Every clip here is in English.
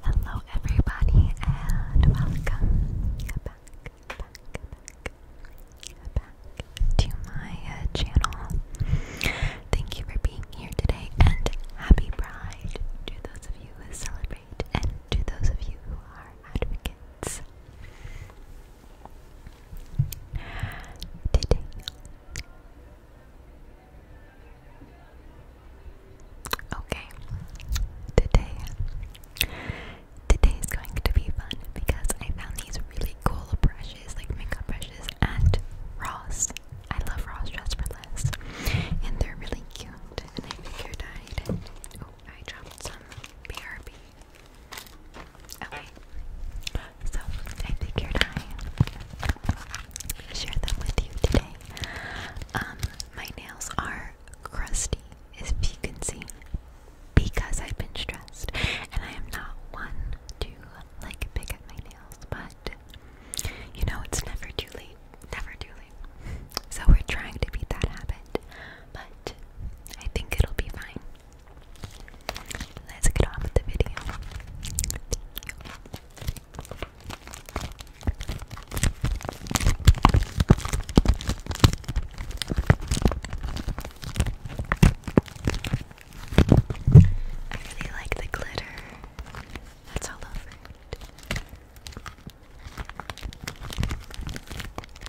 Hello, everybody, and welcome back, to my uh, channel. Thank you for being here today, and happy Pride to those of you who celebrate, and to those of you who are advocates. Today, Okay, today, today is going to be fun because I found these really cool brushes, like makeup brushes, at Ross. I love Ross Dress for Less, and they're really cute. And I figured I'd. Oh, I dropped some BRB Okay. So I figured I share them with you today. Um, my nails are crusty, as you can see, because I've been stressed, and I am not one to like pick at my nails, but you know it's never too late, never too late. So we're trying to beat that habit, but I think it'll be fine. Let's get on with the video. I really like the glitter that's all over it.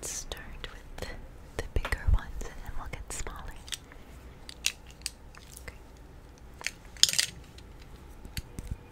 Let's start with the bigger ones and then we'll get smaller. Swish,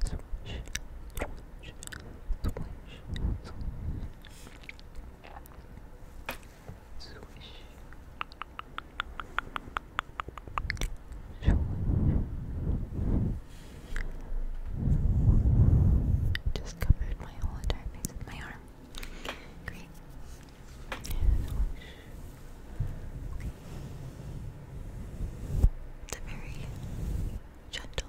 swish, swish. Swish. Just covered my whole entire face with my arm. Great. Okay. very gentle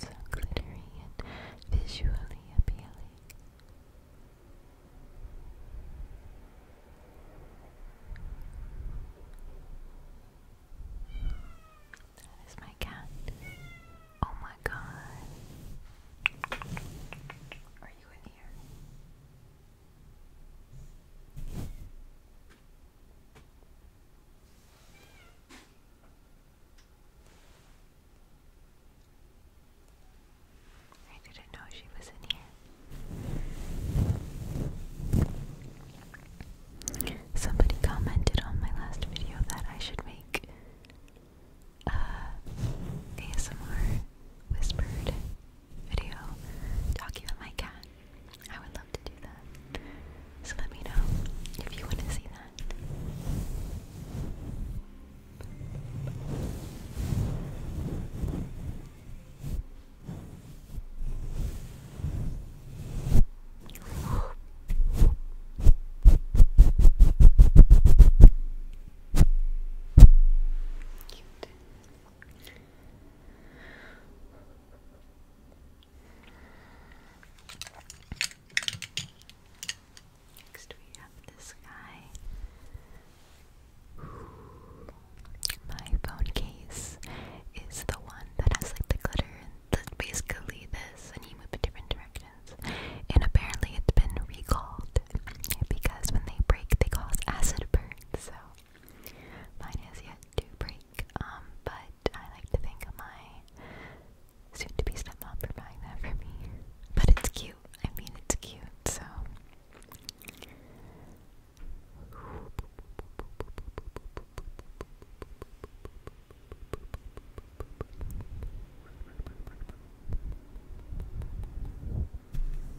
So glittery and visually appealing. That is my cat. Oh my god. Are you in here? I didn't know she was in here. Somebody commented on my last video that I should make uh, a ASMR whispered video talking about my cat. I would love to do that. So let me know if you want to see that. Cute. Next, we have this guy. My phone case is the one that has like the glitter and basically this, and you move in different directions. And apparently, it's been recalled because when they break, they cause acid burns. So Mine is yet to break, um, but I like to think of my soon-to-be stepmom for buying that for me. But it's cute. I mean, it's cute, so.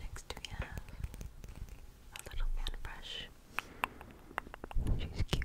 Next we have a little fan brush. She's cute.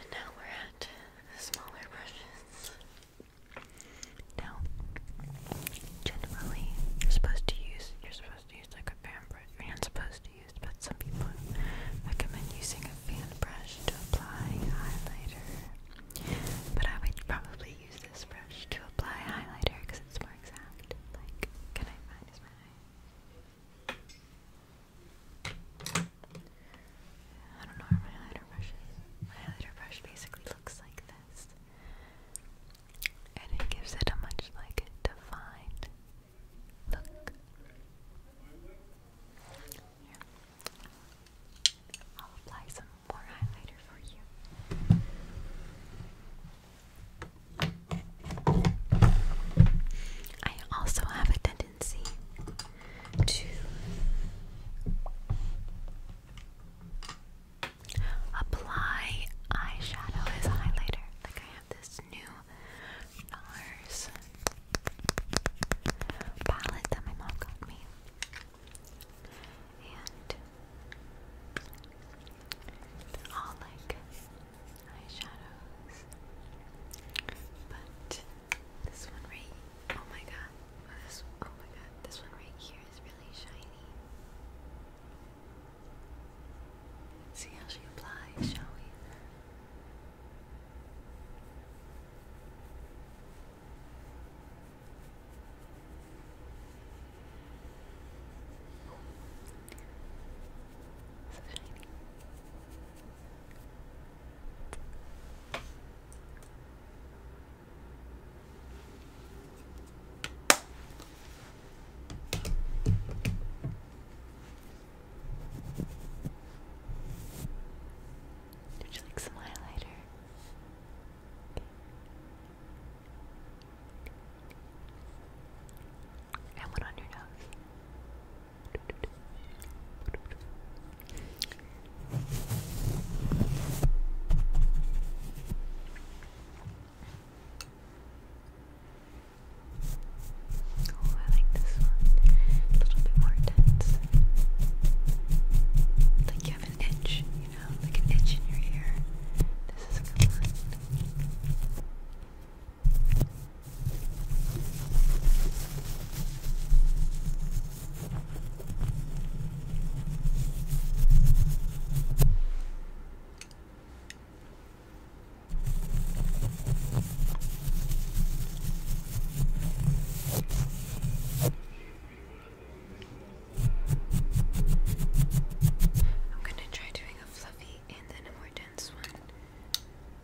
And now we're at the smaller brushes. Now, generally, you're supposed to use you're supposed to use like a fan brush. You're not supposed to use, but some people recommend using a fan brush to apply highlighter. But I would probably use this brush to apply highlighter because it's more exact. Like, can I find my I don't know where my highlighter brush is. My highlighter brush basically looks like this and it gives it a much like defined look. I'll apply some more highlighter for you. I also have a tendency to apply eyeshadow as a highlighter. Like I have this new NARS palette that my mom got me. And all like eyeshadows. But this one right oh my god, Oh, this, oh my god, this one right here is really shiny. see how she applies, shall we? So shiny. Would you like some highlighter? And one on your nose. Oh, I like this one. A little bit more intense. Like you an itch, you know, like an itch in your ear. This is a good one. I'm going to try doing a fluffy and then a more dense one.